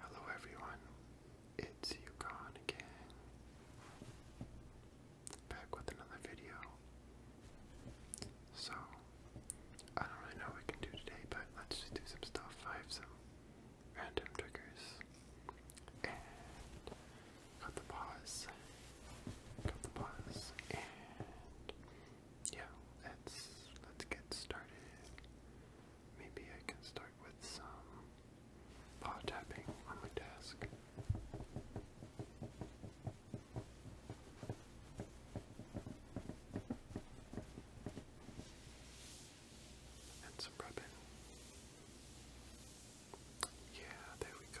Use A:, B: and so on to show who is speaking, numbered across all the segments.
A: Hello everyone, it's Yukon again. Back with another video. So, I don't really know what we can do today, but let's just do some stuff. I some random triggers. got the pause. Got the pause. And yeah, let's let's get started. Maybe I can start with some paw tapping on my desk. And some rubbing. Yeah, there we go.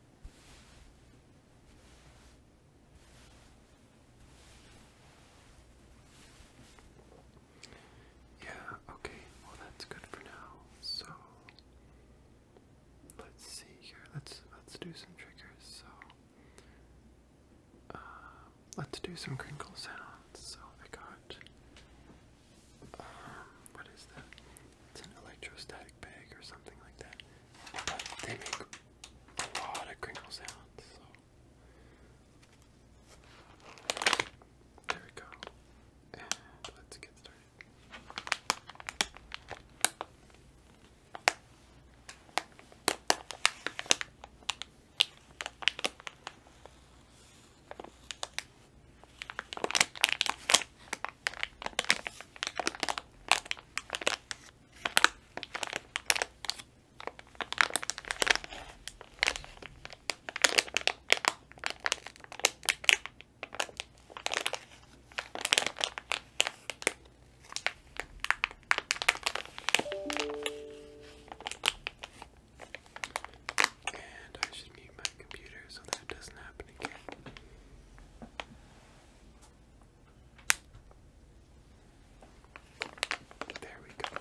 A: Yeah, okay, well that's good for now. So let's see here. Let's let's do some triggers. So uh, let's do some crinkle sounds. So I got um, what is that? It's an electrostatic bag or something like that. But they make a lot of crinkle sounds, there we go. let's get started. And I should be my computer so that doesn't happen again. There we go.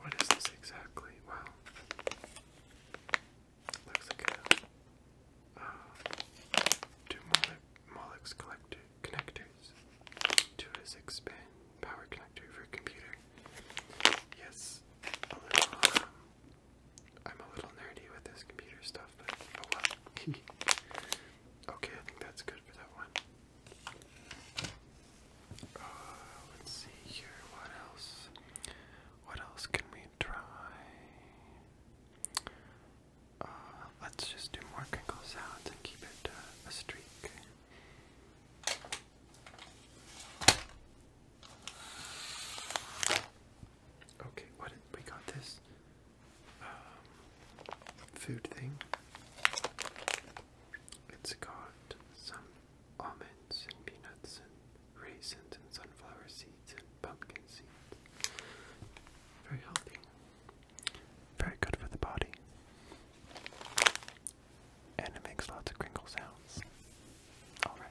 A: What is this exactly? Wow. Looks Uh, two Molex collector connectors. Two is expand power connector for computer. Yes, a little. Um, I'm a little nerdy with this computer stuff, but oh well. okay, I think that's good for that one. Uh, let's see here. What else? What else can we try? Uh, let's just do more crinkle sounds and keep it uh, a streak. Okay, what we got this um, food thing. It's got some almonds and peanuts and raisins and sunflower seeds and pumpkin seeds. Very healthy. Very good for the body. And it makes lots of crinkle sounds. Alright.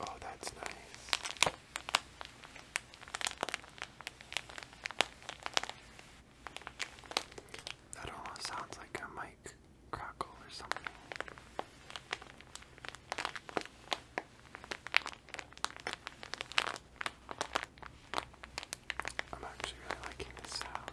A: Oh, that's nice. That almost sounds like a mic crackle or something. I'm actually really liking this sound.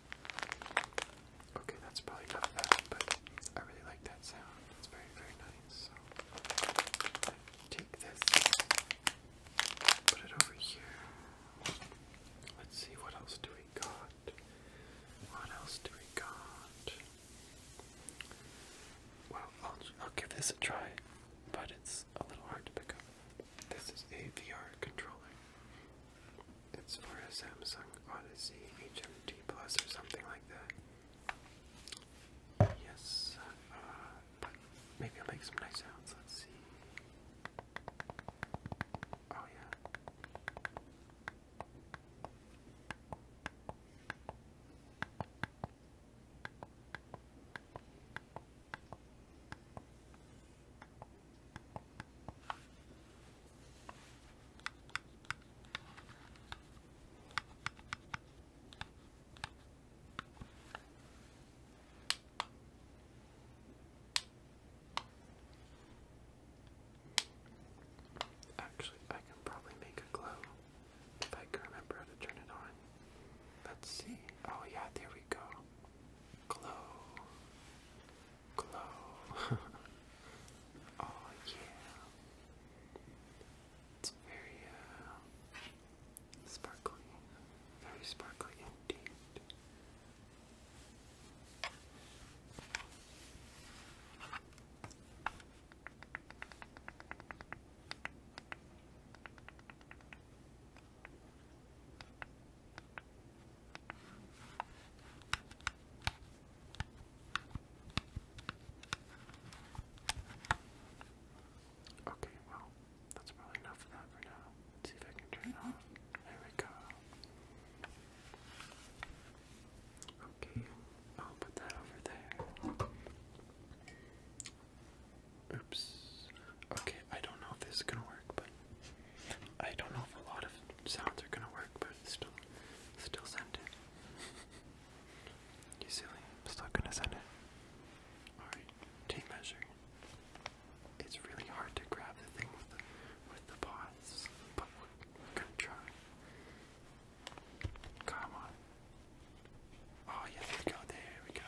A: Okay, that's probably not bad, but I really like that sound. It's very, very nice. So take this, put it over here. Let's see what else do we got. What else do we got? Well, I'll, I'll give this a try, but it's a little hard to pick up. This is a VR controller. It's for a Samsung Odyssey HMT Plus or something like that. Yes, uh, maybe I'll some nice sounds. Let's see. Oh, yeah. Actually, I can probably make a glow if I can remember how to turn it on. Let's see. Oh, yeah, there we go glow, glow. oh yeah, it's very sparkly, very sparkly indeed. Okay, well, that's probably enough of that for now. see if I can turn it off. There we go. Okay, I'll put that over there. Oops. Okay, I don't know if this is gonna work, but I don't know if a lot of sounds are gonna work, but still, still send it. You silly, I'm still gonna send it. Alright, tape measure. It's really hard to grab the thing with the, with the paws, but we're gonna try. Come on. Oh, yes, we go. There we go.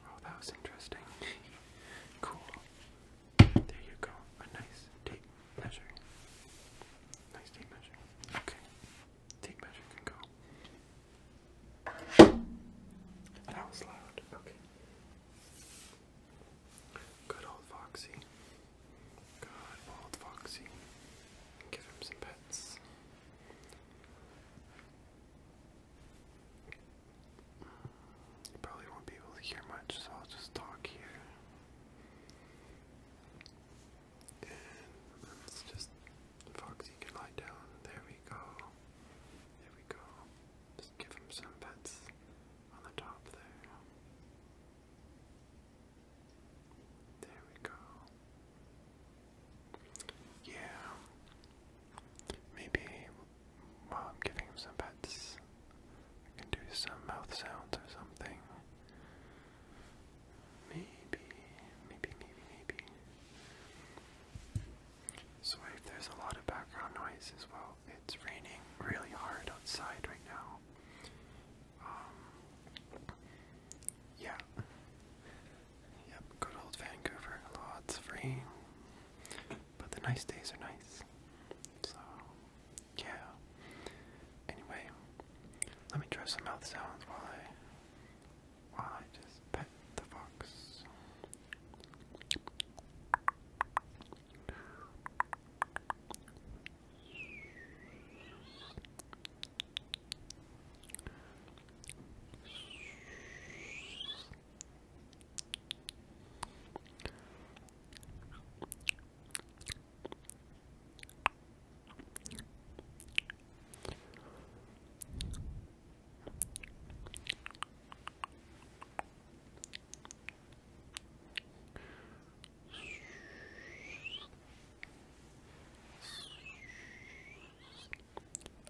A: Oh, that was interesting. cool. There you go. A nice tape measure. Nice tape measure. Okay. Tape measure can go. That was loud. Okay. Good old Foxy. Good old Foxy. Give him some pets. You probably won't be able to hear much, so I'll just talk here. And let's just Foxy can lie down. There we go. There we go. Just give him some pets on the top there. There we go. Yeah. Maybe while I'm giving him some pets, I can do some mouth sounds or something. Maybe, maybe, maybe, maybe. So if there's a lot of background noise as well, it's raining really hard outside right now. Um, yeah. Yep, good old Vancouver, lots of rain. But the nice days are nice. So, yeah. Anyway, let me try some mouth sounds while I while I just pet the fox. Shh.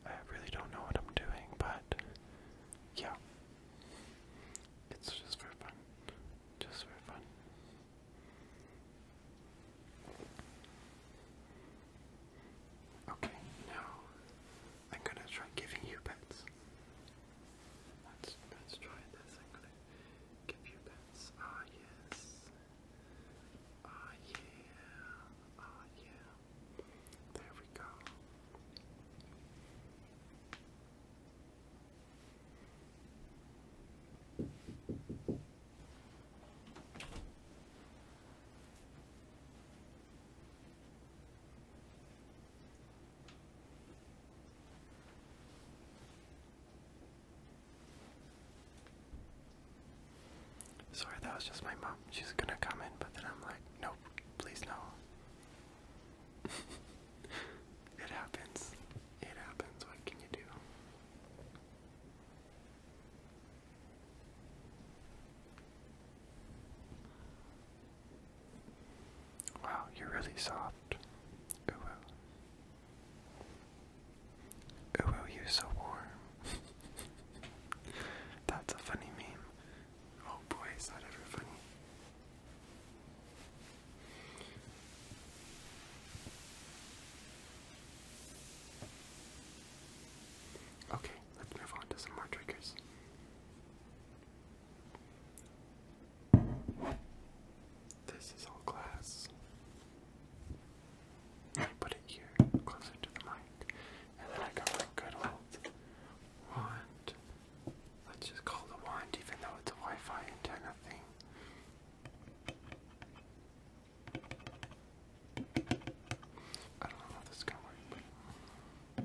A: I really don't know what I'm doing, but yeah. It's just for fun. Just for fun. Okay, now I'm gonna try giving you pets. Let's let's try this. I'm gonna give you pets. Ah yes. Ah yeah. Ah yeah. There we go. Sorry, that was just my mom. She's gonna come in, but then I'm like, nope, please no. it happens. It happens. What can you do? Wow, you're really soft. Ooh, ooh, you're so warm. That's a funny meme. Oh boy, is that ever funny? Okay, let's move on to some more triggers. This is all glass. I put it here, closer to the mic, and then I got my good old wand. Let's just call the wand, even though it's a Wi-Fi antenna thing. I don't know if this is gonna work, but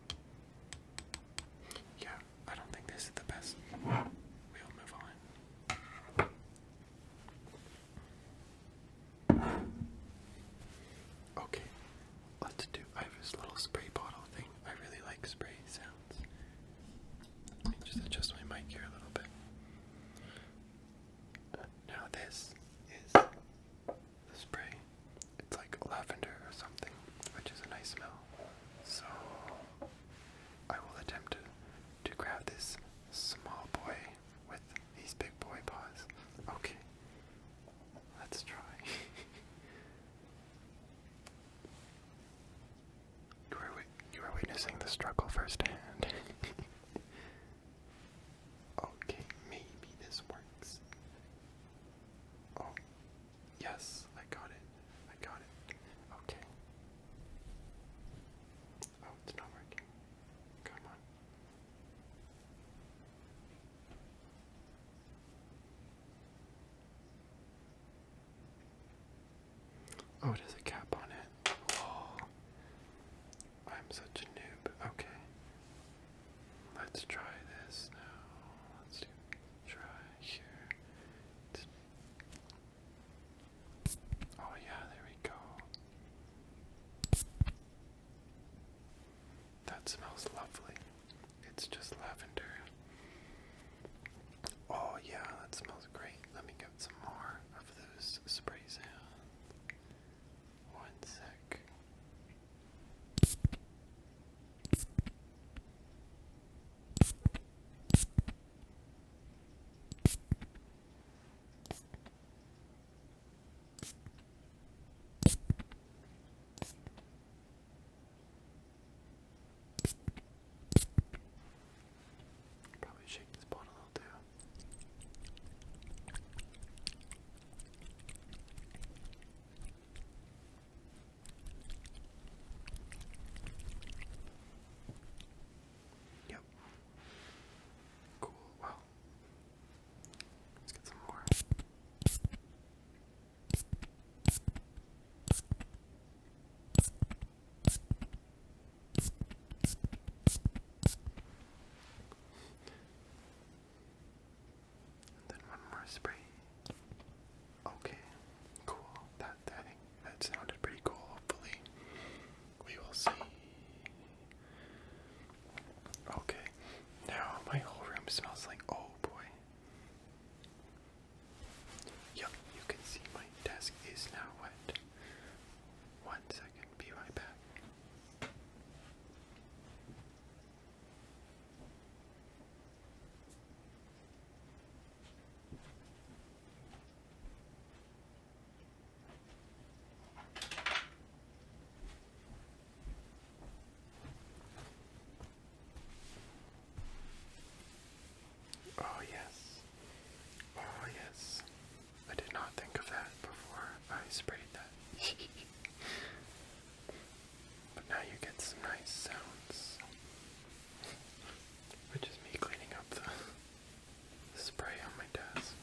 A: Yeah, I don't think this is the best. We'll move on. Okay, let's do. I have this little spray bottle thing. I really like spray sounds. Let me just adjust my mic here a little bit. now, this is the spray. It's like lavender or something, which is a nice smell. So I will attempt to, grab this small boy with these big boy paws. Okay, let's try. you are witnessing the struggle firsthand. okay, maybe this works. Oh, Yes, I got it. I got it. Okay. Oh, it's not working. Come on. Oh, it a cap on it. Oh, I'm such a noob. Okay. Let's try this now. Let's do try here. Oh, yeah, there we go. That smells lovely. It's just lavender. Oh, yeah, that smells great. Let me get some more of those sprays in. One sec. Probably shake this bottle out too. Yep. Cool. Well, let's get some more then one more spray. Okay, cool. That I that sounded pretty cool. Hopefully, we will see. Okay, now my whole room smells like oh boy. Yep, you can see my desk is now wet. One second, be right back. Oh, yes. Oh, yes. I did not think of that before I sprayed that. But now you get some nice sounds. Which is me cleaning up the, spray on my desk.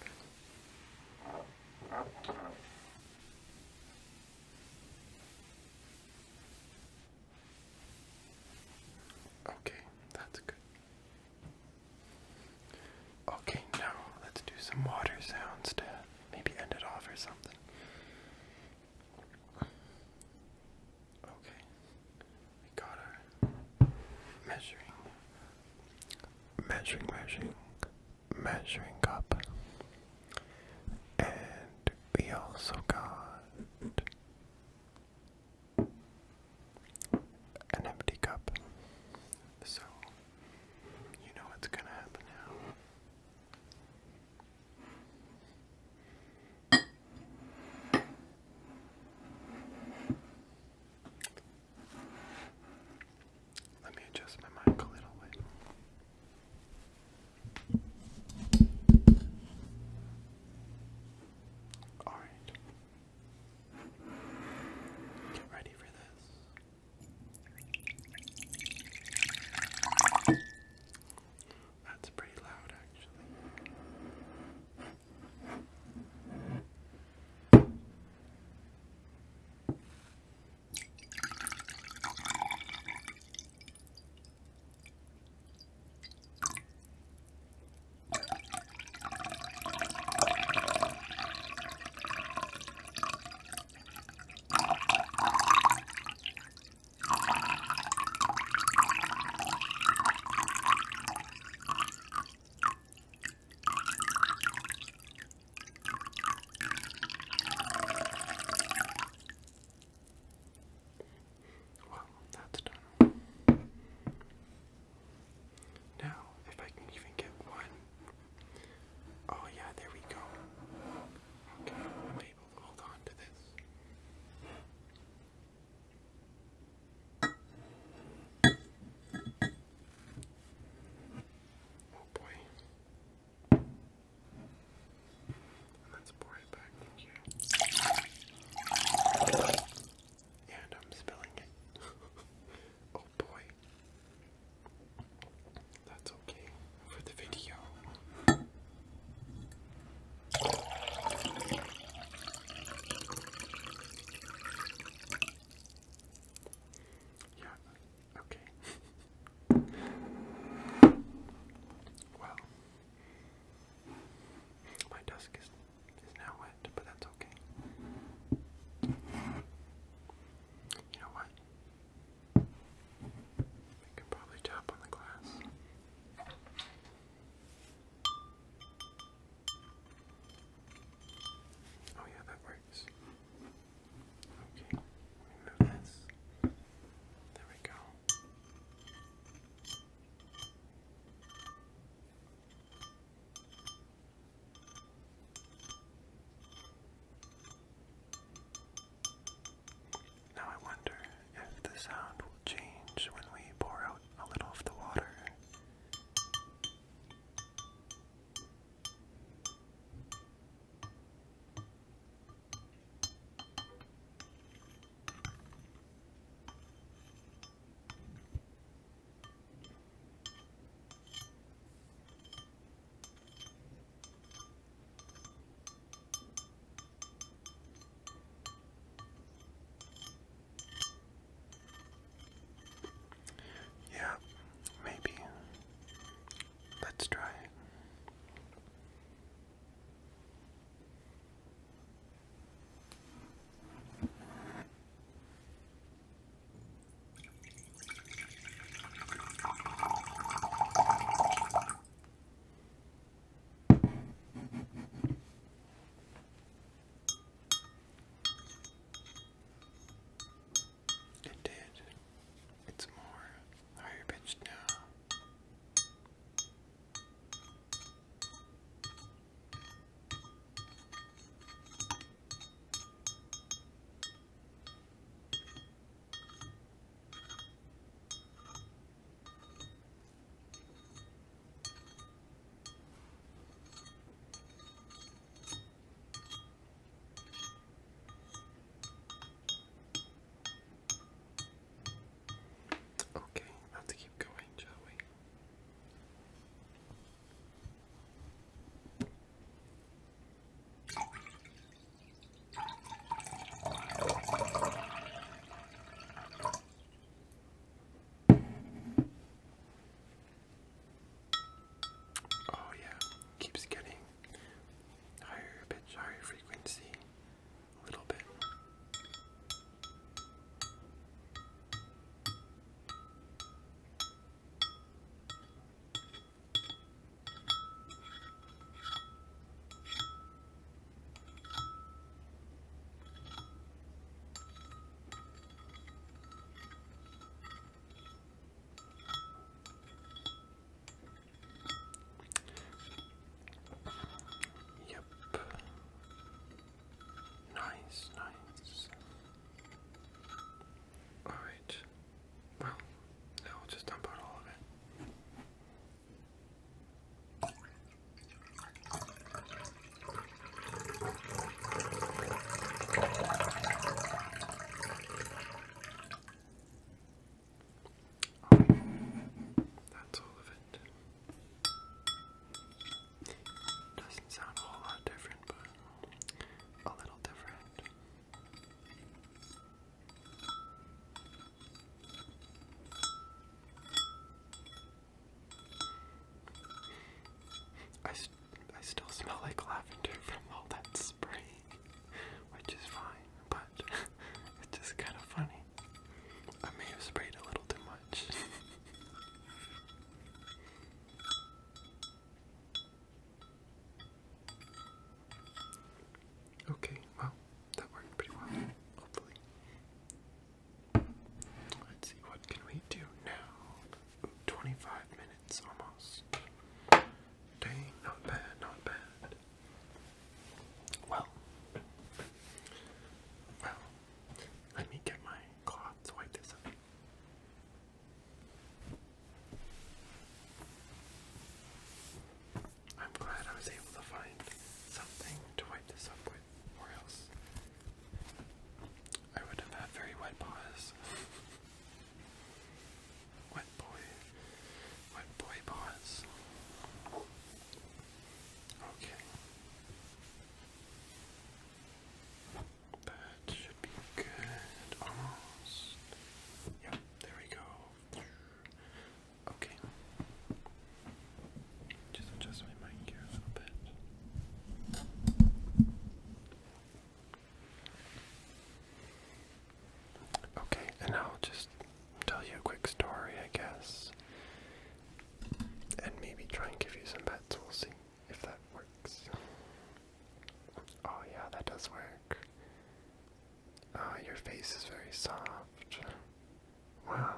A: Okay, that's good. Okay, now let's do some water sounds to maybe end it off or something. Okay, we got our measuring, measuring, measuring, measuring cup, and we also got an empty cup. So, you know what's gonna happen now. Let me adjust my mic a little bit. All right. Get ready for this. That's pretty loud, actually. Well, that's done. Now, if I can even get one. Oh, yeah, there we go. Okay, maybe will hold on to this. Oh boy. let's pour it back here. And I'm spilling it. oh boy. That's okay for the video. Yeah, okay. well, my desk is, is now wet, but that's okay. You know what? We can probably tap on the glass. Oh yeah, that works. Okay, remove this. There we go. Now I wonder if the sound will change when we pour out a little of the water. Yeah, maybe. Let's try it did. It's more higher pitched now. Okay, let's keep going, shall we? Oh, yeah, keeps getting higher pitch, higher frequency, a little bit. Yep. Nice, nice. Alright. Well, now we'll just dump out all of it. That's all of it. Doesn't sound a whole lot different, but a little different. I, I still smell like lavender from all that spray, which is fine, but it's just kind of funny. I may have sprayed a little too much. Okay, well, that worked pretty well, hopefully. Let's see, what can we do now? 25 minutes almost. Dang, not bad, not bad. Well, well, let me get my cloth to wipe this up. I'm glad I was able to find something to wipe this up with, or else I would have had very wet paws. wet boy, wet boy paws. Okay. That should be good, almost. Yep, there we go. Okay. Just adjust my mic here a little bit. Okay, and I'll just tell you a quick story, I guess. And maybe try and give you some bets. We'll see if that works. Oh, yeah, that does work. Ah, your face is very soft. Wow.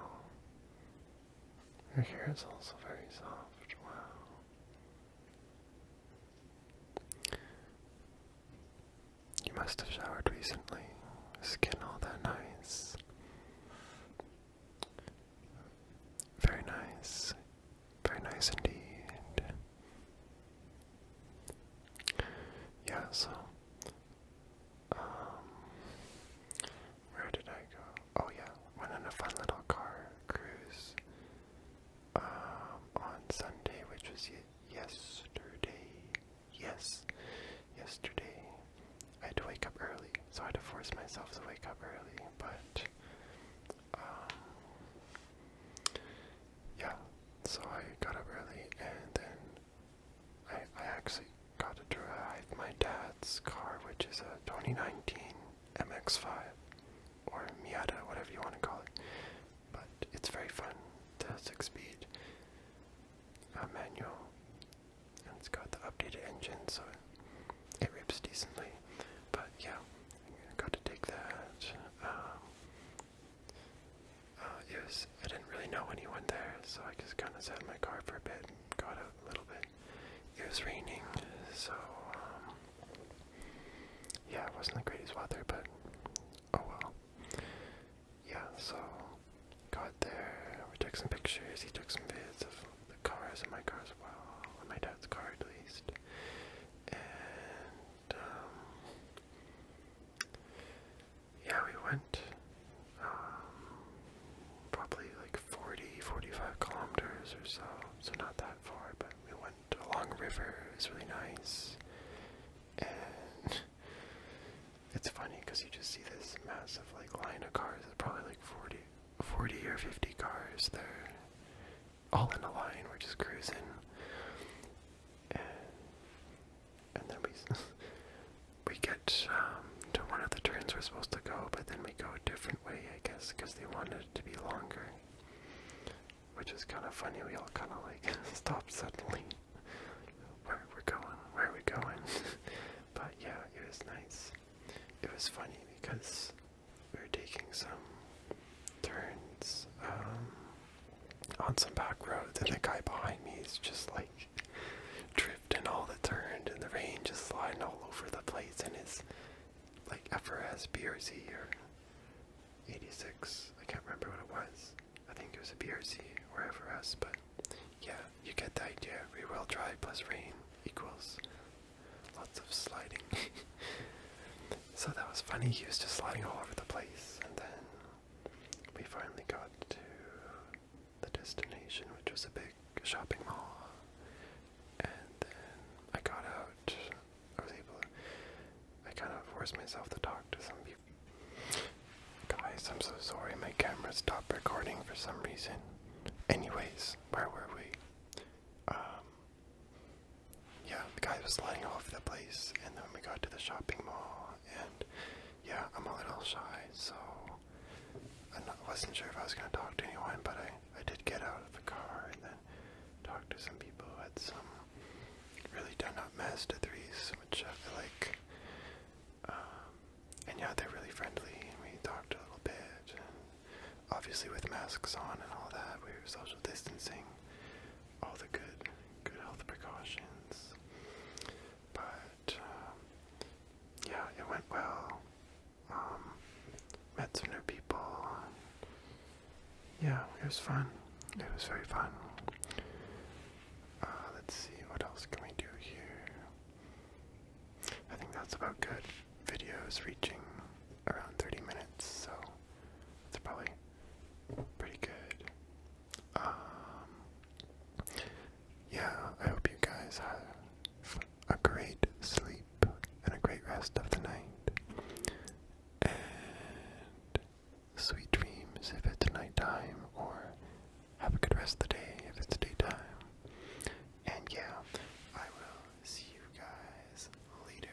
A: Your hair is also very soft. Wow. You must have showered recently. Skin all that nice. Very nice. Very nice indeed. Yeah, so um, where did I go? Oh yeah, went on a fun little car cruise um, on Sunday, which was yesterday. Yes. Yesterday I had to wake up early, so I had to force myself to wake up early, but um, yeah, so I got up early and then I, actually got to drive my dad's car, which is a 2019 MX5 or Miata, whatever you want to call it. But it's very fun. The six-speed uh, manual, and it's got the updated engine, so it, rips decently. But yeah, got to take that. Um, uh, it was, I didn't really know anyone there, so I just kind of sat in my car for a bit got out a little bit. It was raining, so um, yeah, it wasn't the greatest weather, but oh well. Yeah, so got there, we took some pictures, he took some vids of the cars and my car as well, and my dad's car at least. And um, yeah, we went um, probably like 40, 45 kilometers or so. So not that far, but we went along a river. It was really nice. And it's funny because you just see this massive like line of cars. It's probably like 40, or 50 cars They're all in a line. We're just cruising and then we we get um, to one of the turns we're supposed to go, but then we go a different way, I guess, because they wanted it to be longer, which is kind of funny. We all kind of like stop suddenly. Where we're going? Where are we going? but yeah, it was nice. It was funny because we are taking some turns. Um, on some back roads, and the guy behind me is just like drifting all the turns, and the rain just sliding all over the place, and his like FRS BRZ or 86, I can't remember what it was. I think it was a BRZ or FRS, but yeah, you get the idea. Rear-wheel drive plus rain equals lots of sliding. so that was funny. He was just sliding all over the place, and then we finally got to the destination, which was a big shopping mall. And then I got out. I was able to. I kind of forced myself to talk to some people. Guys, I'm so sorry. My camera stopped recording for some reason. Anyways, where were we? Um. Yeah, the guy was sliding off the place, and then we got to the shopping mall, and yeah, I'm a little shy, so I wasn't sure if I was going to talk to anyone, but I, I did get out of the car and then talked to some people at some really done-up Mazda 3s, which I feel like, um, and yeah, they're really friendly, and we talked a little bit, and obviously with masks on and all that, we were social distancing, all the good good health precautions. But um, yeah, it went well. Um, met some new people. Yeah, it was fun. It was very fun. Uh, let's see, what else can we do here? I think that's about good. Videos reaching around 30 minutes, so that's probably pretty good. Um, yeah, I hope you guys have a great sleep and a great rest of the night. And sweet dreams if it's nighttime, or have a good rest of the day if it's daytime. And yeah, I will see you guys later.